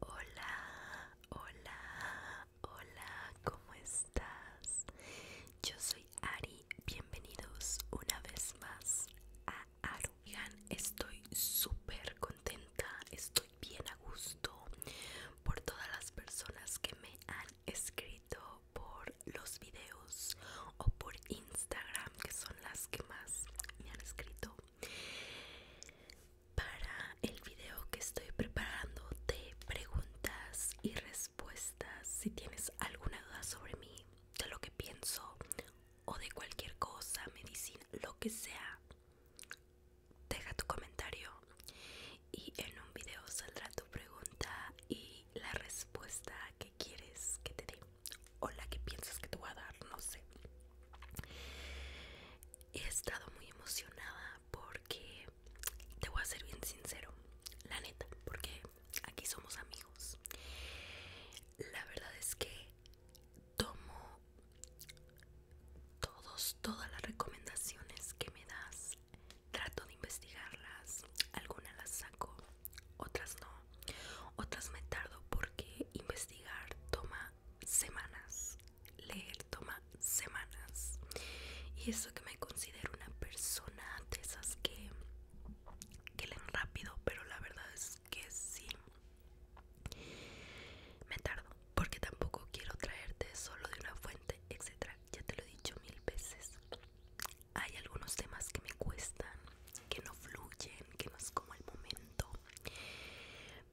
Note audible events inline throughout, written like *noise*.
Hola, hola, hola, ¿cómo estás? Yo soy Ari, bienvenidos una vez más a Arugan. Estoy súper contenta, estoy bien a gusto por todas las personas que me han escrito por los videos o por Instagram, que son las que más me han escrito. Para el video que estoy preparando de preguntas y respuestas si tienes alguna duda sobre mí, de lo que pienso o de cualquier cosa, medicina, lo que sea, deja tu comentario y en un video saldrá tu pregunta y la respuesta que quieres que te dé o la que piensas que te voy a dar, no sé. He estado muy emocionada porque te voy a ser bien sincero, la neta, porque aquí somos amigos. La verdad es que tomo todos, todas las recomendaciones que me das, trato de investigarlas, algunas las saco, otras no, otras me tardo porque investigar toma semanas, leer toma semanas. Y eso que me considero una persona esas que, que leen rápido, pero la verdad es que sí. Me tardo, porque tampoco quiero traerte solo de una fuente, etcétera. Ya te lo he dicho mil veces. Hay algunos temas que me cuestan, que no fluyen, que no es como el momento.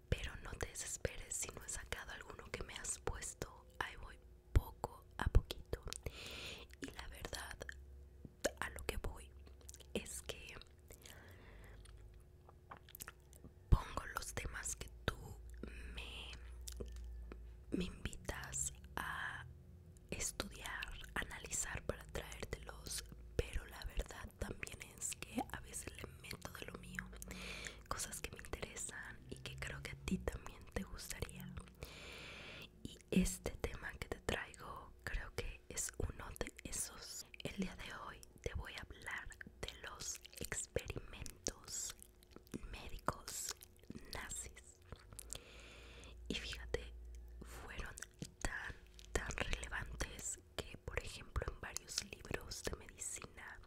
Pero no te desesperes si no he sacado alguno que me has puesto. Ahí voy poco a poquito y la verdad a lo que voy es que pongo los temas que tú me, me invitas a estudiar, analizar para traértelos, pero la verdad también es que a veces le meto de lo mío, cosas que me interesan y que creo que a ti también te gustaría. Y este tema que te traigo creo que es uno de esos. El día de hoy te voy a hablar de los experimentos médicos nazis. Y fíjate, fueron tan, tan relevantes que, por ejemplo, en varios libros de medicina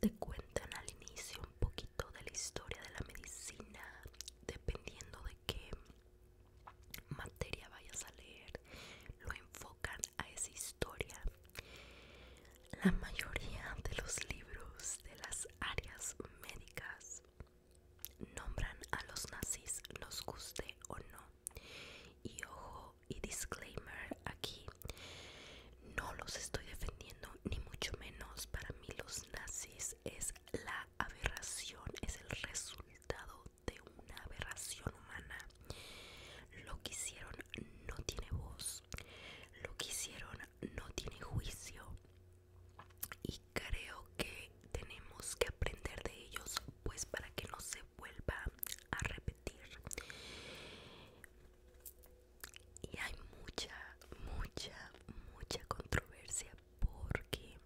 te cuentan al inicio poquito de la historia de la medicina, dependiendo de qué materia vayas a leer, lo enfocan a esa historia. La mayoría de los libros de las áreas médicas nombran a los nazis, nos guste o no. Y ojo y disclaimer aquí, no los estoy defendiendo ni mucho menos para mí los nazis es la aberración es el resultado de una aberración humana lo que hicieron no tiene voz lo que hicieron no tiene juicio y creo que tenemos que aprender de ellos pues para que no se vuelva a repetir y hay mucha, mucha, mucha controversia porque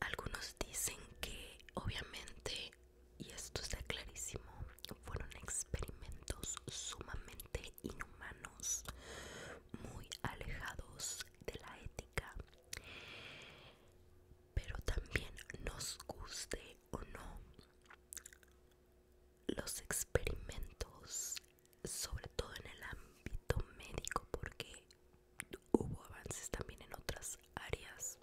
algunos dicen que obviamente, y esto está clarísimo, fueron experimentos sumamente inhumanos, muy alejados de la ética. Pero también nos guste o no, los experimentos, sobre todo en el ámbito médico, porque hubo avances también en otras áreas,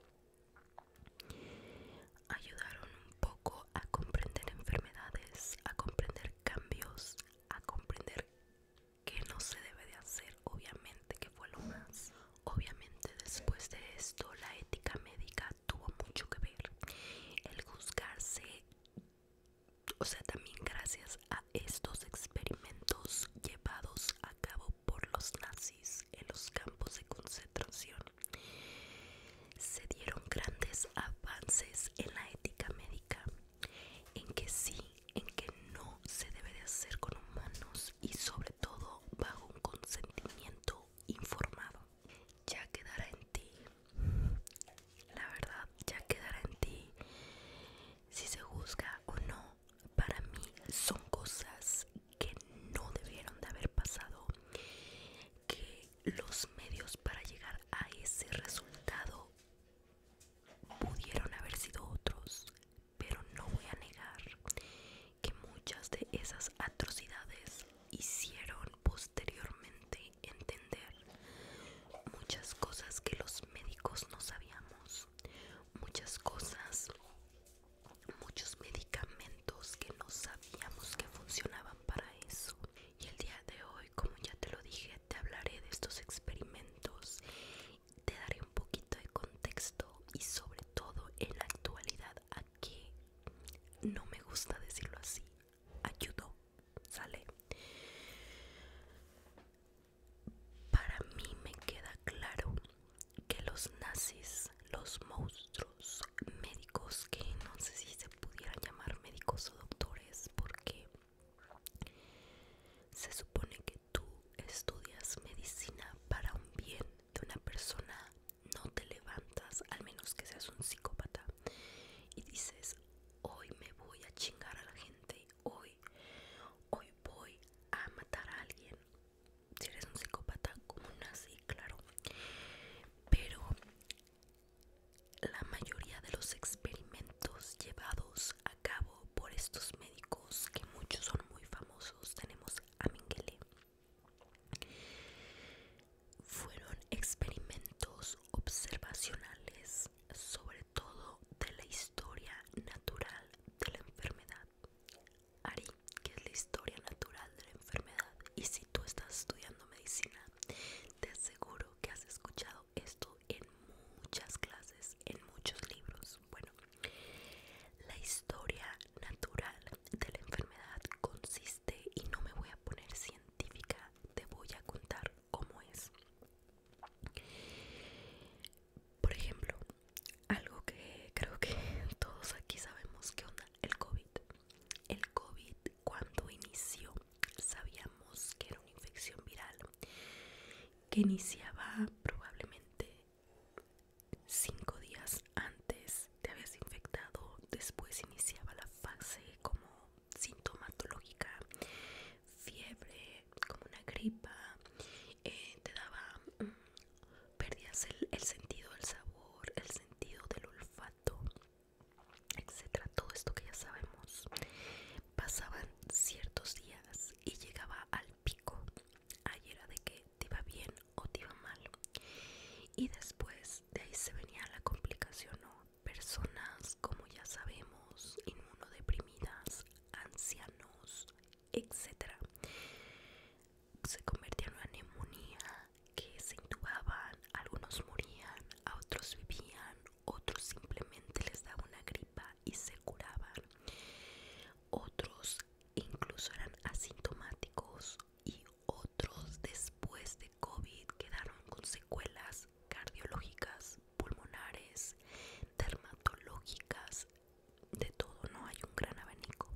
ayudaron un poco a comprender enfermedades, a comprender cambios, a comprender qué no se debe de hacer, obviamente que fue lo más. Obviamente después de esto la ética médica tuvo mucho que ver el juzgarse, o sea, también gracias a estos experimentos llevados a cabo por los nazis en los campos de concentración, se dieron grandes avances en la ética médica, en que sí, en que no se debe de hacer con humanos y sobre todo bajo un consentimiento informado ya quedará en ti la verdad ya quedará en ti si se juzga o no para mí son cosas que no debieron de haber pasado que los medios para llegar a ese resultado pudieron haber sido otros pero no voy a negar que muchas de esas atrocidades hicieron posteriormente entender muchas cosas que los médicos no sabíamos, muchas cosas, muchos medicamentos que no sabíamos que funcionaban para eso. Y el día de hoy, como ya te lo dije, te hablaré de estos experimentos, te daré un poquito de contexto y sobre todo en la actualidad que no me gusta decirlo así Ayudo, sale para mí me queda claro que los nazis los monstruos médicos que no sé si se pudieran llamar médicos o doctores porque se supone que tú estudias medicina para un bien de una persona no te levantas, al menos que seas un psicópata, y dices, hoy me voy a chingar a la gente, hoy, hoy voy a matar a alguien. Si eres un psicópata como un nazi, claro. Pero la mayoría de los experimentos llevados a cabo por estos médicos, que muchos son muy famosos, tenemos a Mengele, fueron experimentos observacionales, sobre todo de la historia natural de la enfermedad. Ari, que es la historia natural de la enfermedad, y si tú estás estudiando medicina, te aseguro que has escuchado esto en muchas clases, en muchos libros. Bueno, la historia natural de la enfermedad consiste, y no me voy a poner científica, te voy a contar cómo es. Por ejemplo, algo que creo que *laughs* todos aquí sabemos que onda, el COVID. El COVID cuando inició sabíamos que era una infección viral que iniciaba probablemente Cinco días antes te habías infectado, después iniciaba la fase como sintomatológica, fiebre, como una gripa, eh, te daba, mm, perdías el, sentido del sabor, el sentido del olfato, etcétera, todo esto que ya sabemos. Pasaban ciertos días y llegaba al pico. Ayer era de que te iba bien, o te iba mal. Y después de ahí se venía la complicación, ¿no? Personas, como ya sabemos, inmunodeprimidas, ancianos, Etcétera Se convertía en una neumonía que se intubaban, algunos morían, a otros vivían, otros simplemente les daba una gripa y se curaban. Otros incluso eran asintomáticos y otros después de COVID quedaron con secuelas cardiológicas, pulmonares, dermatológicas, de todo, no hay un gran abanico.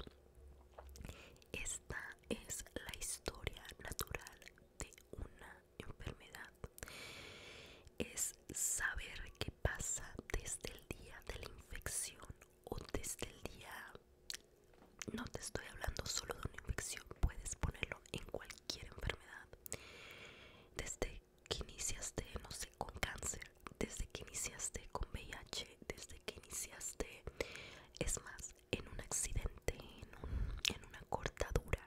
Esta es la historia natural de una enfermedad. Es saber qué pasa desde el día de la infección o desde el día no te estoy hablando solo de una infección puedes ponerlo en cualquier enfermedad desde que iniciaste no sé con cáncer desde que iniciaste con VIH desde que iniciaste es más en un accidente en, en una cortadura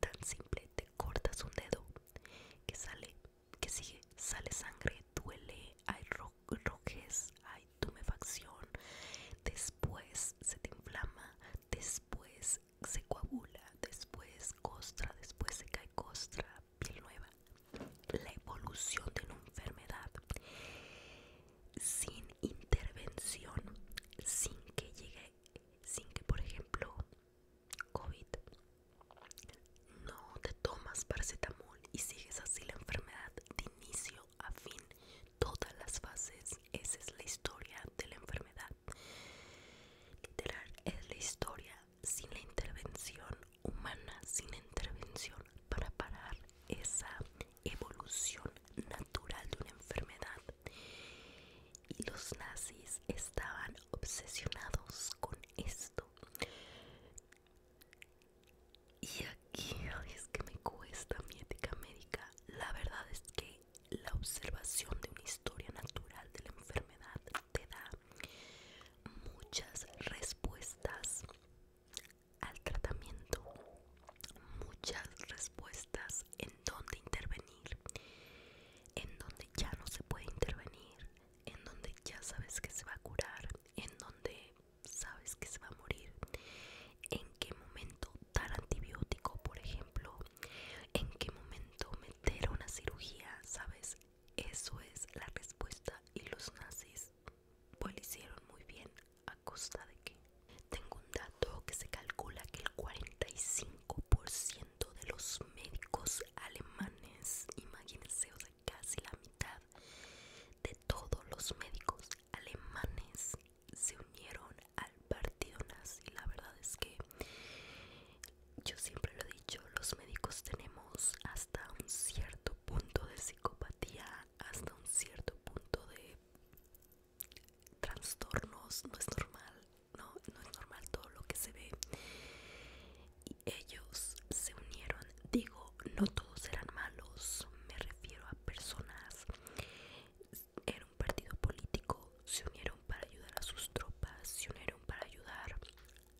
tan simple te cortas un dedo que sale que sigue sale sangre, duele, hay ro rojez, hay tumefacción, después se te inflama, después se coagula, después costra, después se cae costra, piel nueva. La evolución de una enfermedad sin intervención, sin que llegue, sin que por ejemplo COVID no te tomas paracetamol y sigues así la enfermedad de inicio a fin, todas las fases. Esa es la historia de la enfermedad. Literal es la historia sin la intervención humana, sin intervención para parar esa evolución natural de una enfermedad. Y los nazis estaban obsesionados con esto. Y aquí, es que me cuesta mi ética médica. La verdad es que la observación de una historia natural de la enfermedad te da muchas respuestas al tratamiento, muchas respuestas en dónde intervenir, en dónde ya no se puede intervenir, en donde ya sabes que se va a curar, en donde sabes que se va a morir, en qué momento dar antibiótico, por ejemplo, en qué momento meter una cirugía, ¿sabes? Eso es la respuesta y los nazis pues lo hicieron muy bien a costa de que tengo un dato que se calcula que el 45% de los médicos alemanes, imagínense, casi la mitad de todos los médicos alemanes se unieron al partido nazi. La verdad es que yo siempre lo he dicho, los médicos tenemos hasta un cierto punto de psicopatía, hasta un cierto punto de trastornos, no es normal, no, no es normal todo lo que se ve ellos se unieron. Digo, no todos eran malos, me refiero a personas. Era un partido político, se unieron para ayudar a sus tropas, se unieron para ayudar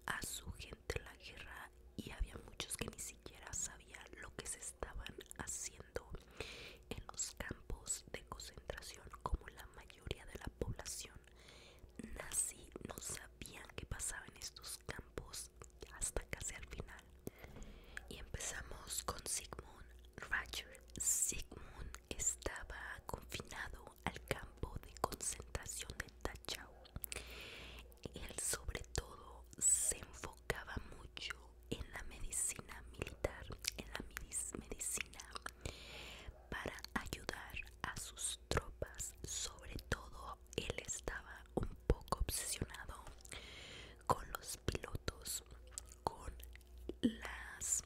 a su gente en la guerra y había muchos que ni siquiera sabían lo que se estaban haciendo en los campos de concentración como la mayoría de la población nazi no sabían qué pasaba en estos campos hasta casi al final. Y empezamos con Sigmund Ratcher. Sigmund estaba confinado al campo de concentración de Tachau Él sobre todo se enfocaba mucho en la medicina militar, en la medicina para ayudar a sus tropas. Sobre todo él estaba un poco obsesionado con los pilotos, con las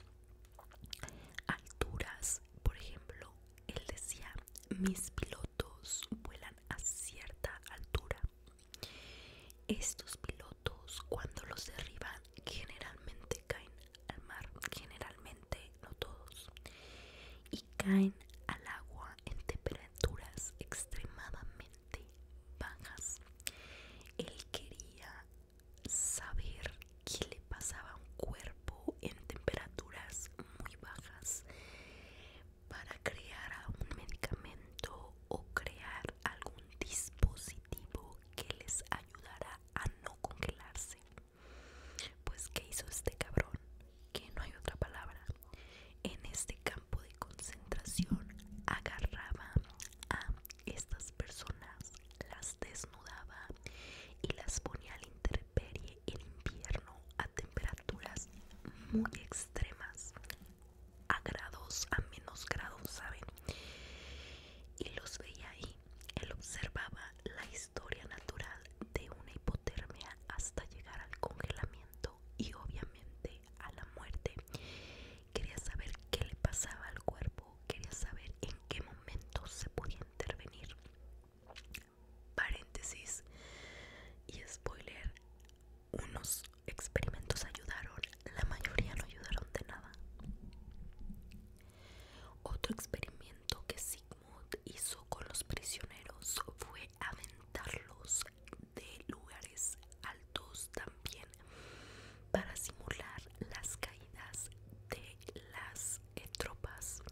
alturas. Por ejemplo, él decía, mis pilotos vuelan a cierta altura. Estos pilotos cuando los derriban generalmente caen al mar, generalmente no todos, y caen al agua en temperaturas extremadamente bajas. Él quería saber qué le pasaba a un cuerpo en temperaturas muy bajas para crear un medicamento o crear algún dispositivo que les ayudara a no congelarse. Pues ¿qué hizo este cabrón? Que no hay otra palabra. En este campo de concentración agarraba a estas personas, las desnudaba y las ponía al interperie en invierno a temperaturas muy extremas, a grados, a menos grados, ¿saben? Y los veía ahí él observaba la historia natural de una hipotermia hasta llegar al congelamiento y obviamente a la muerte. Quería saber qué le pasaba al cuerpo, quería saber en qué momento se podía intervenir. Paréntesis y spoiler, unos experimentos ayudaron, la mayoría no ayudaron de nada. Otro experimento que sí hizo con los prisioneros fue aventarlos de lugares altos también para simular las caídas de las eh, tropas.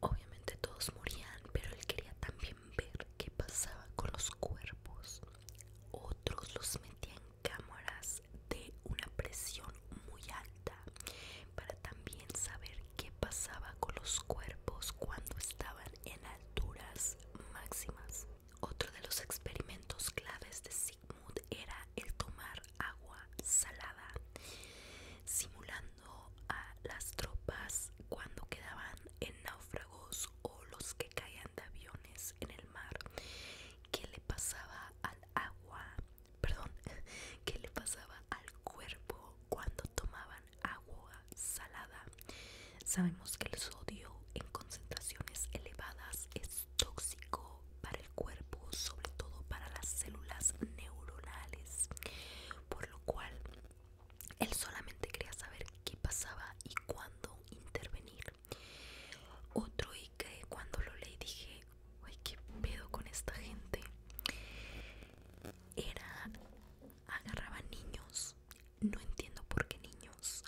Obviamente todos morían, pero él quería también ver qué pasaba con los cuerpos. Otros los metían cámaras de una presión muy alta para también saber qué pasaba con los cuerpos cuando estaban en alturas máximas. Otro de los experimentos claves de Sigmund era el tomar agua salada, simulando a las tropas cuando quedaban en náufragos o los que caían de aviones en el mar. ¿Qué le pasaba al agua *laughs* perdón, *laughs* que le pasaba al cuerpo cuando tomaban agua salada. Sabemos que el sodio en concentraciones elevadas es tóxico para el cuerpo, sobre todo para las células neuronales, por lo cual él solamente quería saber qué pasaba y cuándo intervenir. Otro que cuando lo leí dije, uy, qué pedo con esta gente. Era, agarraba niños, no entiendo por qué niños,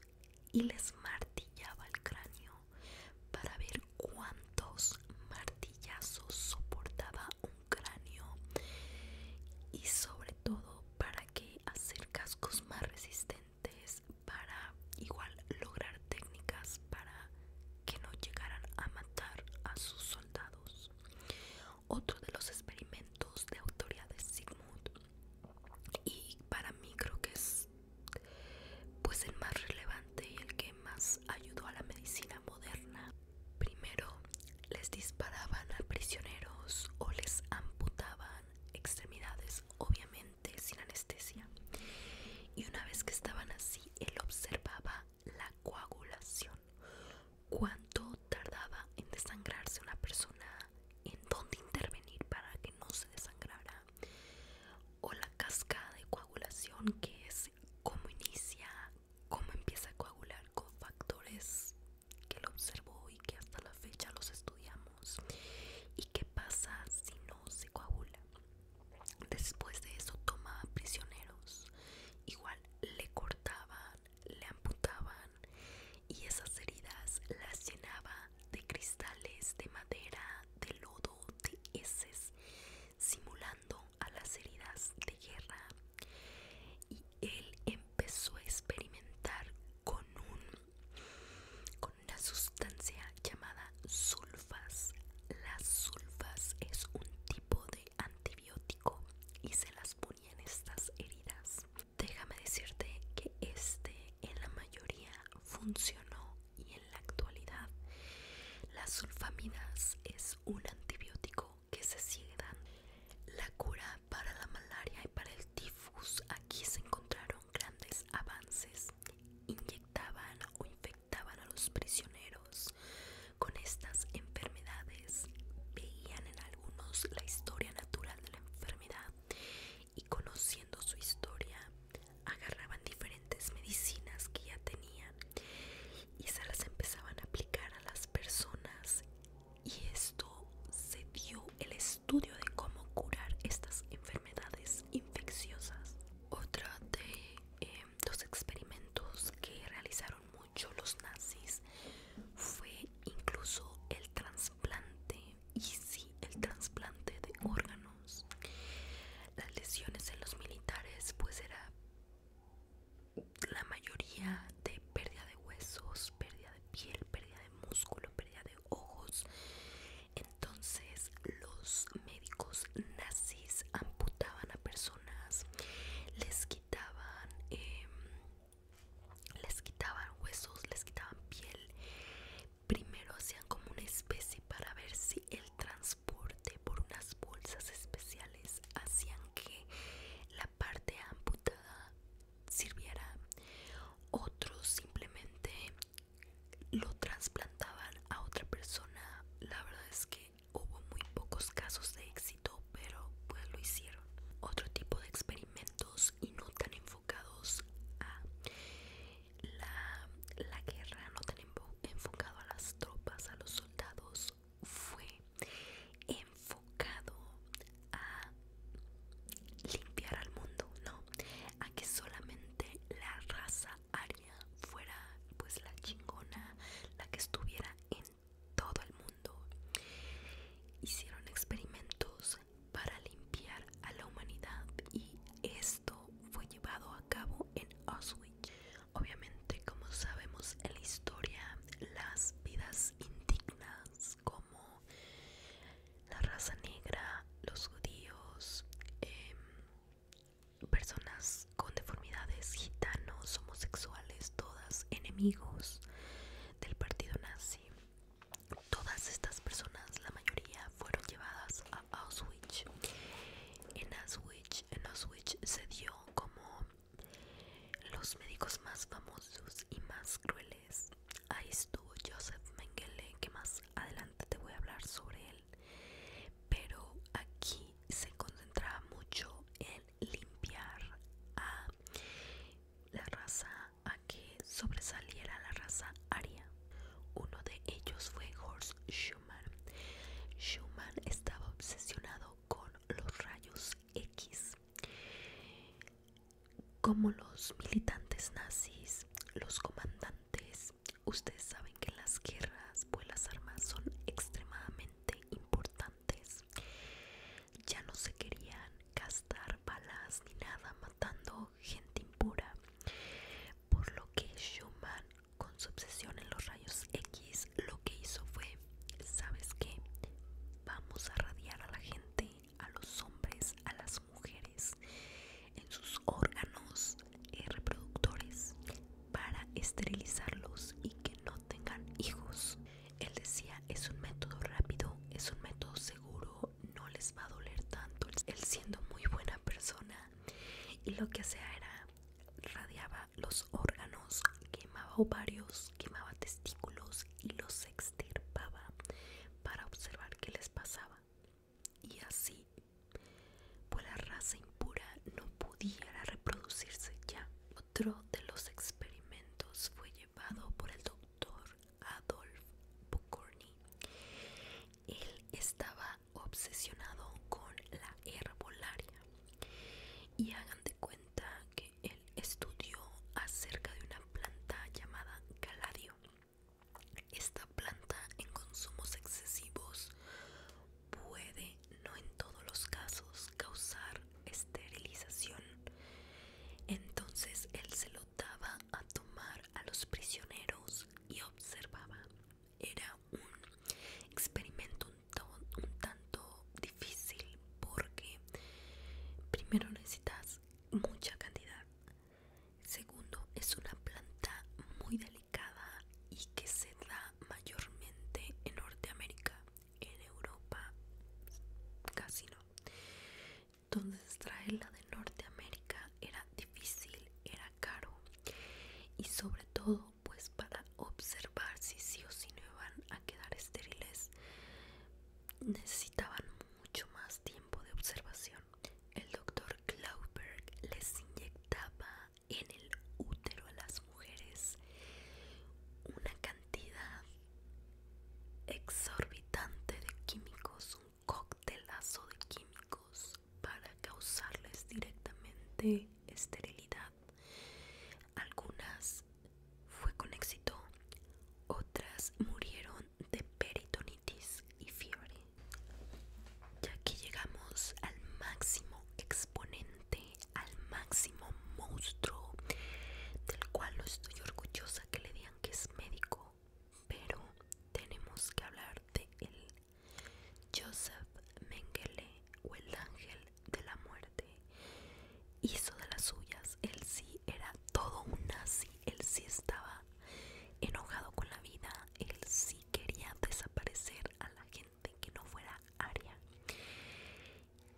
y les martillaba el cráneo para ver cuántos martillazos soportaba un cráneo y sobre todo para que hacer cascos más resistentes para igual lograr técnicas para que no llegaran a matar a sus soldados. Otro de los experimentos de autoridad de Sigmund y para mí creo que es pues el más relevante y el que más ayudó a la medicina moderna. Primero les disparaban a prisioneros o les amputaban extremidades obviamente sin anestesia y una vez que estaban así él observaba la coagulación cuánto tardaba en desangrarse una persona en dónde intervenir para que no se desangrara o la cascada de coagulación que es cómo inicia cómo empieza a coagular con factores que lo observó y que hasta la fecha los estudiamos ¿Y qué pasa si no se coagula? Después de eso toma prisioneros. Igual le cortaban, le amputaban y esas heridas las llenaba de cristales, de madera, de lodo, de heces, simulando a las heridas de guerra. Y él empezó a experimentar con un con una sustancia llamada sulfas. Las sulfas es un tipo de antibiótico y se las ponía en estas heridas. Déjame decirte que este en la mayoría funcionó y en la actualidad las sulfamidas es un antibiótico que se sigue dando. La cura para la malaria y para el tifus aquí se encontraron grandes avances, inyectaban o infectaban a los prisioneros con estas enfermedades, veían en algunos la historia natural de la enfermedad y conociendo su historia agarraban diferentes medicinas que ya tenían y se las empezaban a aplicar a las personas y esto se dio el estudio de cómo curar estas enfermedades infecciosas. Otra de em, los experimentos que realizaron mucho los nazis fue incluso el trasplante y sí, el trasplante de órganos. Las lesiones en los militares pues era la mayoría de pérdida de huesos, pérdida de piel, pérdida de músculo, pérdida de ojos. Entonces los médicos nazis amputaban a personas, les quitaban, em, les quitaban huesos, les quitaban piel. Primero hacían como una especie para ver si el transporte por unas bolsas especiales hacían que la parte amputada sirviera. Otros simplemente lo trasplantaban a otra persona. La verdad es que hubo muy pocos casos de éxito, pero pues lo hicieron. Otro tipo de experimentos y no tan enfocados a la, guerra, no tan enfocado a las tropas, a los soldados, fue enfocado a limpiar al mundo, no, a que solamente la raza aria fuera pues la chingona, la que estuviera en todo el mundo. Hicieron experimentos para limpiar a la humanidad y esto fue llevado a cabo en Auschwitz. Obviamente, como sabemos en la historia, las vidas indignas como la raza negra, los judíos, em, personas con deformidades, gitanos, homosexuales, todas enemigos del partido nazi. Todas estas personas, la mayoría, fueron llevadas a Auschwitz. En Auschwitz, en Auschwitz se dio como los médicos más famosos y más crueles Ahí estuvo Joseph Mengele, que más adelante te voy a hablar sobre él. Pero aquí se concentraba mucho en limpiar a la raza, a que sobresaliera la raza aria. Uno de ellos fue Horst Schumann. Schumann estaba obsesionado con los rayos X como los militantes nazis, los comandantes, ustedes saben que las guerras pues las armas son extremadamente importantes. Ya no se querían gastar balas ni nada matando gente impura, por lo que Schumann con su obsesión en los rayos X lo que hizo fue, ¿sabes qué? Vamos a radiar a la gente a los hombres, a las mujeres, en sus órganos eh, reproductores para esterilizarlos y que no tengan hijos. Él decía, es un método rápido, es un método seguro, no les va a doler tanto. Él siendo muy buena persona y lo que hacía era radiaba los órganos, quemaba ovarios, quemaba testículos y los extirpaba para observar qué les pasaba. Y así, por pues la raza impura no pudiera reproducirse ya. Otro de los experimentos fue llevado por el doctor Adolf Bucorny. Él estaba obsesionado con la herbolaria. Y hagan de cuenta que él estudió acerca de una planta llamada caladio esta planta en consumos excesivos puede, no en todos los casos, causar esterilización. Entonces él se lo daba a tomar a los prisioneros y observaba. Era un experimento un, un tanto difícil porque primero necesitas mucha cantidad Segundo, es una planta muy delicada y que se da mayormente en Norteamérica, en Europa casi no. Entonces traerla de Norteamérica era difícil, era caro y sobre todo pues para observar si sí o si no iban a quedar estériles necesitaban mucho más tiempo de observación. El doctor Klauberg les inyectaba en el útero a las mujeres una cantidad exorbitante de químicos, un cóctelazo de químicos para causarles directamente esterilidad. Algunas fue con éxito, otras murieron de peritonitis y fiebre. Ya que llegamos al máximo exponente, al máximo monstruo, del cual no estoy orgullosa que le digan que es médico, pero tenemos que hablar de él. Joseph Mengele o el ángel de la muerte hizo de las suyas. Él sí era todo un nazi, él sí estaba enojado con la vida, él sí quería desaparecer a la gente que no fuera aria.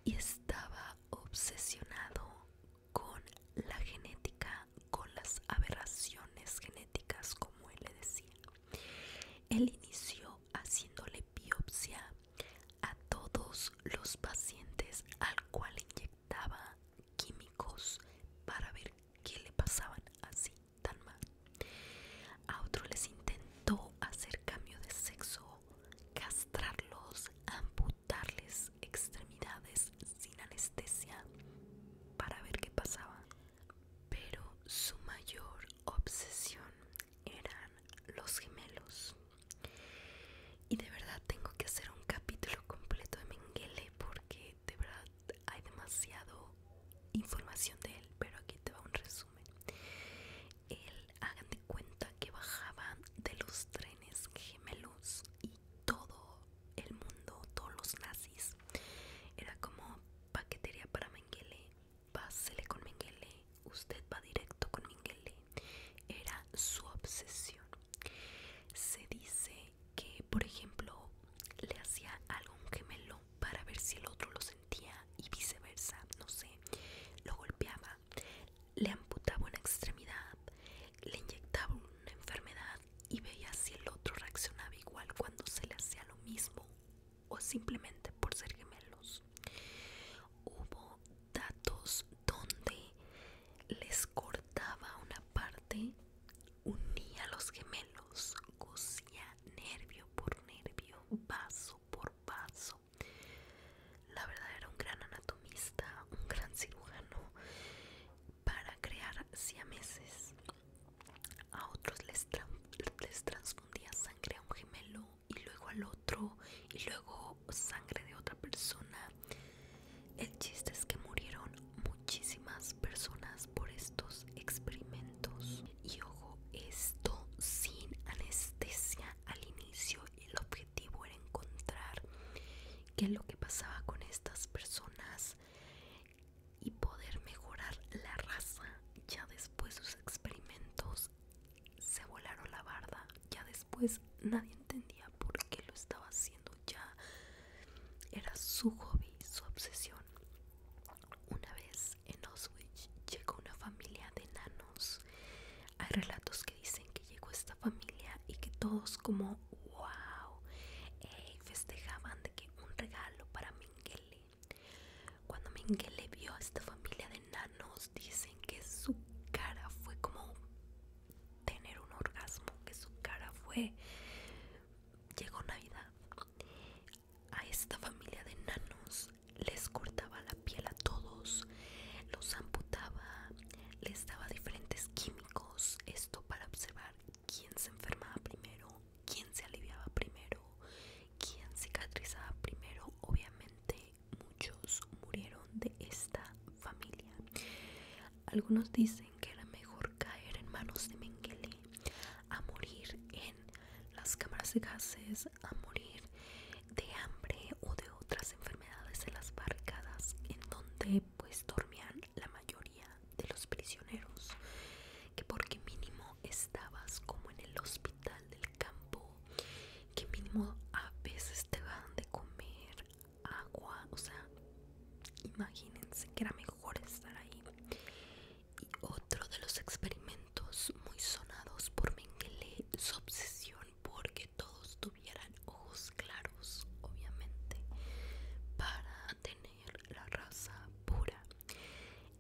Y estaba obsesionado con la genética, con las aberraciones genéticas, como él le decía. Él inició haciéndole biopsia a todos los pacientes al cual inyectó daba químicos para ver qué le pasaban así tan mal. A otros les intentó hacer cambio de sexo, castrarlos, amputarles extremidades sin anestesia para ver qué pasaba. Pero su mayor obsesión eran los gemelos. Y de verdad tengo que hacer un capítulo completo de Mengele porque de verdad hay demasiada información de él, pero aquí te va un resumen. Él, hagan de cuenta que bajaba de los trenes gemelos y todo el mundo, todos los nazis, era como paquetería para Mengele, pásele con Mengele, usted va directo con Mengele, era su obsesión. Se dice que, por ejemplo, le hacía algún gemelo para ver si el otro lo sentía y viceversa, no sé, lo golpeaba, le amputaba una extremidad, le inyectaba una enfermedad y veía si el otro reaccionaba igual cuando se le hacía lo mismo o simplemente por ser gemelos. Hubo datos donde les cortaba una parte, unía los gemelos, cosía nervio por nervio, vaso por vaso. La verdad era un gran anatomista, un gran cirujano para crear siameses. A otros les, les transfundía sangre a un gemelo y luego al otro y luego sangre de otra persona. El chiste es que murieron muchísimas personas por estos experimentos. Y ojo, esto sin anestesia al inicio. El objetivo era encontrar qué es lo que pasaba con estas personas y poder mejorar la raza. Ya después sus experimentos se volaron la barda. Ya después nadie entendía por qué lo estaba haciendo. Ya era su hobby, su obsesión. Una vez en Oswich llegó una familia de nanos. Hay relatos que dicen que llegó esta familia y que todos como wow festejaban de que un regalo para Mingele. Cuando Mingele vio a esta familia de nanos dicen que su cara fue como tener un orgasmo, que su cara fue, llegó Navidad, a esta familia de nanos les cortaba la piel a todos, los amputaba, les daba diferentes químicos, esto para observar quién se enfermaba primero, quién se aliviaba primero, quién cicatrizaba primero, obviamente muchos murieron de esta familia. Algunos dicen que era mejor caer en manos de Mengele, a morir en las cámaras de gases, a morir de hambre o de otras enfermedades en las barricadas en donde pues dormían la mayoría de los prisioneros, que porque mínimo estabas como en el hospital del campo que mínimo a veces te van de comer agua o sea imagínense que era mejor estar ahí y otro de los experimentos muy sonados por Mengele su obsesión porque todos tuvieran ojos claros obviamente para tener la raza pura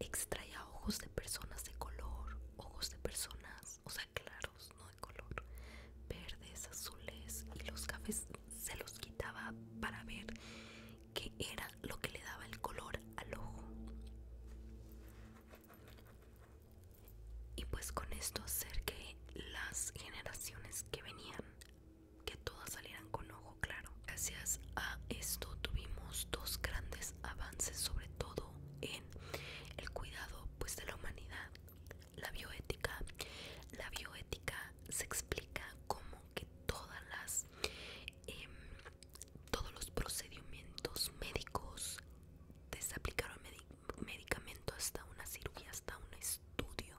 extraía ojos de personas de color ojos de personas o sea claros, no de color, verdes, azules y los cafés se los quitaba para ver qué era lo que le daba el color al ojo. Y pues con esto acerqué las generaciones que venían, que todas salieran con ojo claro. Gracias a esto tuvimos dos grandes avances, sobre todo en el cuidado pues de la humanidad. La bioética, la bioética se explica como que todas las em, todos los procedimientos médicos desde aplicar un medicamento hasta una cirugía hasta un estudio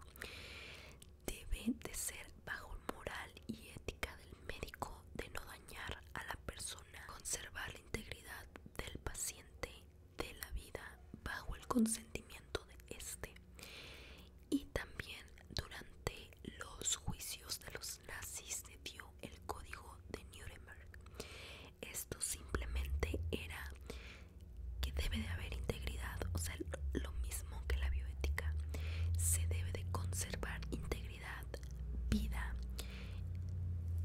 debe de ser bajo moral y ética del médico de no dañar a la persona conservar la integridad del paciente de la vida bajo el consentimiento de este y también durante los juicios de los nazis se dio el código de Nuremberg esto simplemente era que debe de haber integridad o sea lo mismo que la bioética se debe de conservar integridad vida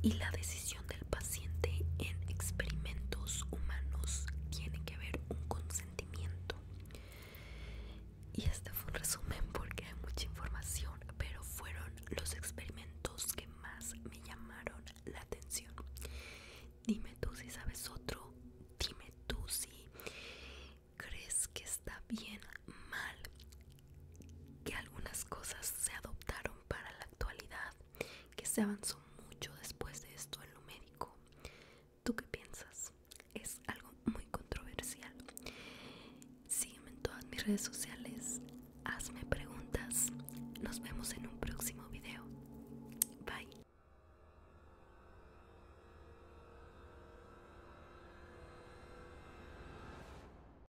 y la decisión del paciente en experimentos humanos tiene que ver un consentimiento. Y este fue un resumen porque hay mucha información, pero fueron los experimentos que más me llamaron la atención. Dime tú si sabes otro, dime tú si crees que está bien, mal, que algunas cosas se adoptaron para la actualidad, que se avanzó mucho después de esto en lo médico. ¿Tú qué piensas? Es algo muy controversial. Sígueme en todas mis redes sociales, hazme preguntas. Nos vemos en un próximo video. Bye.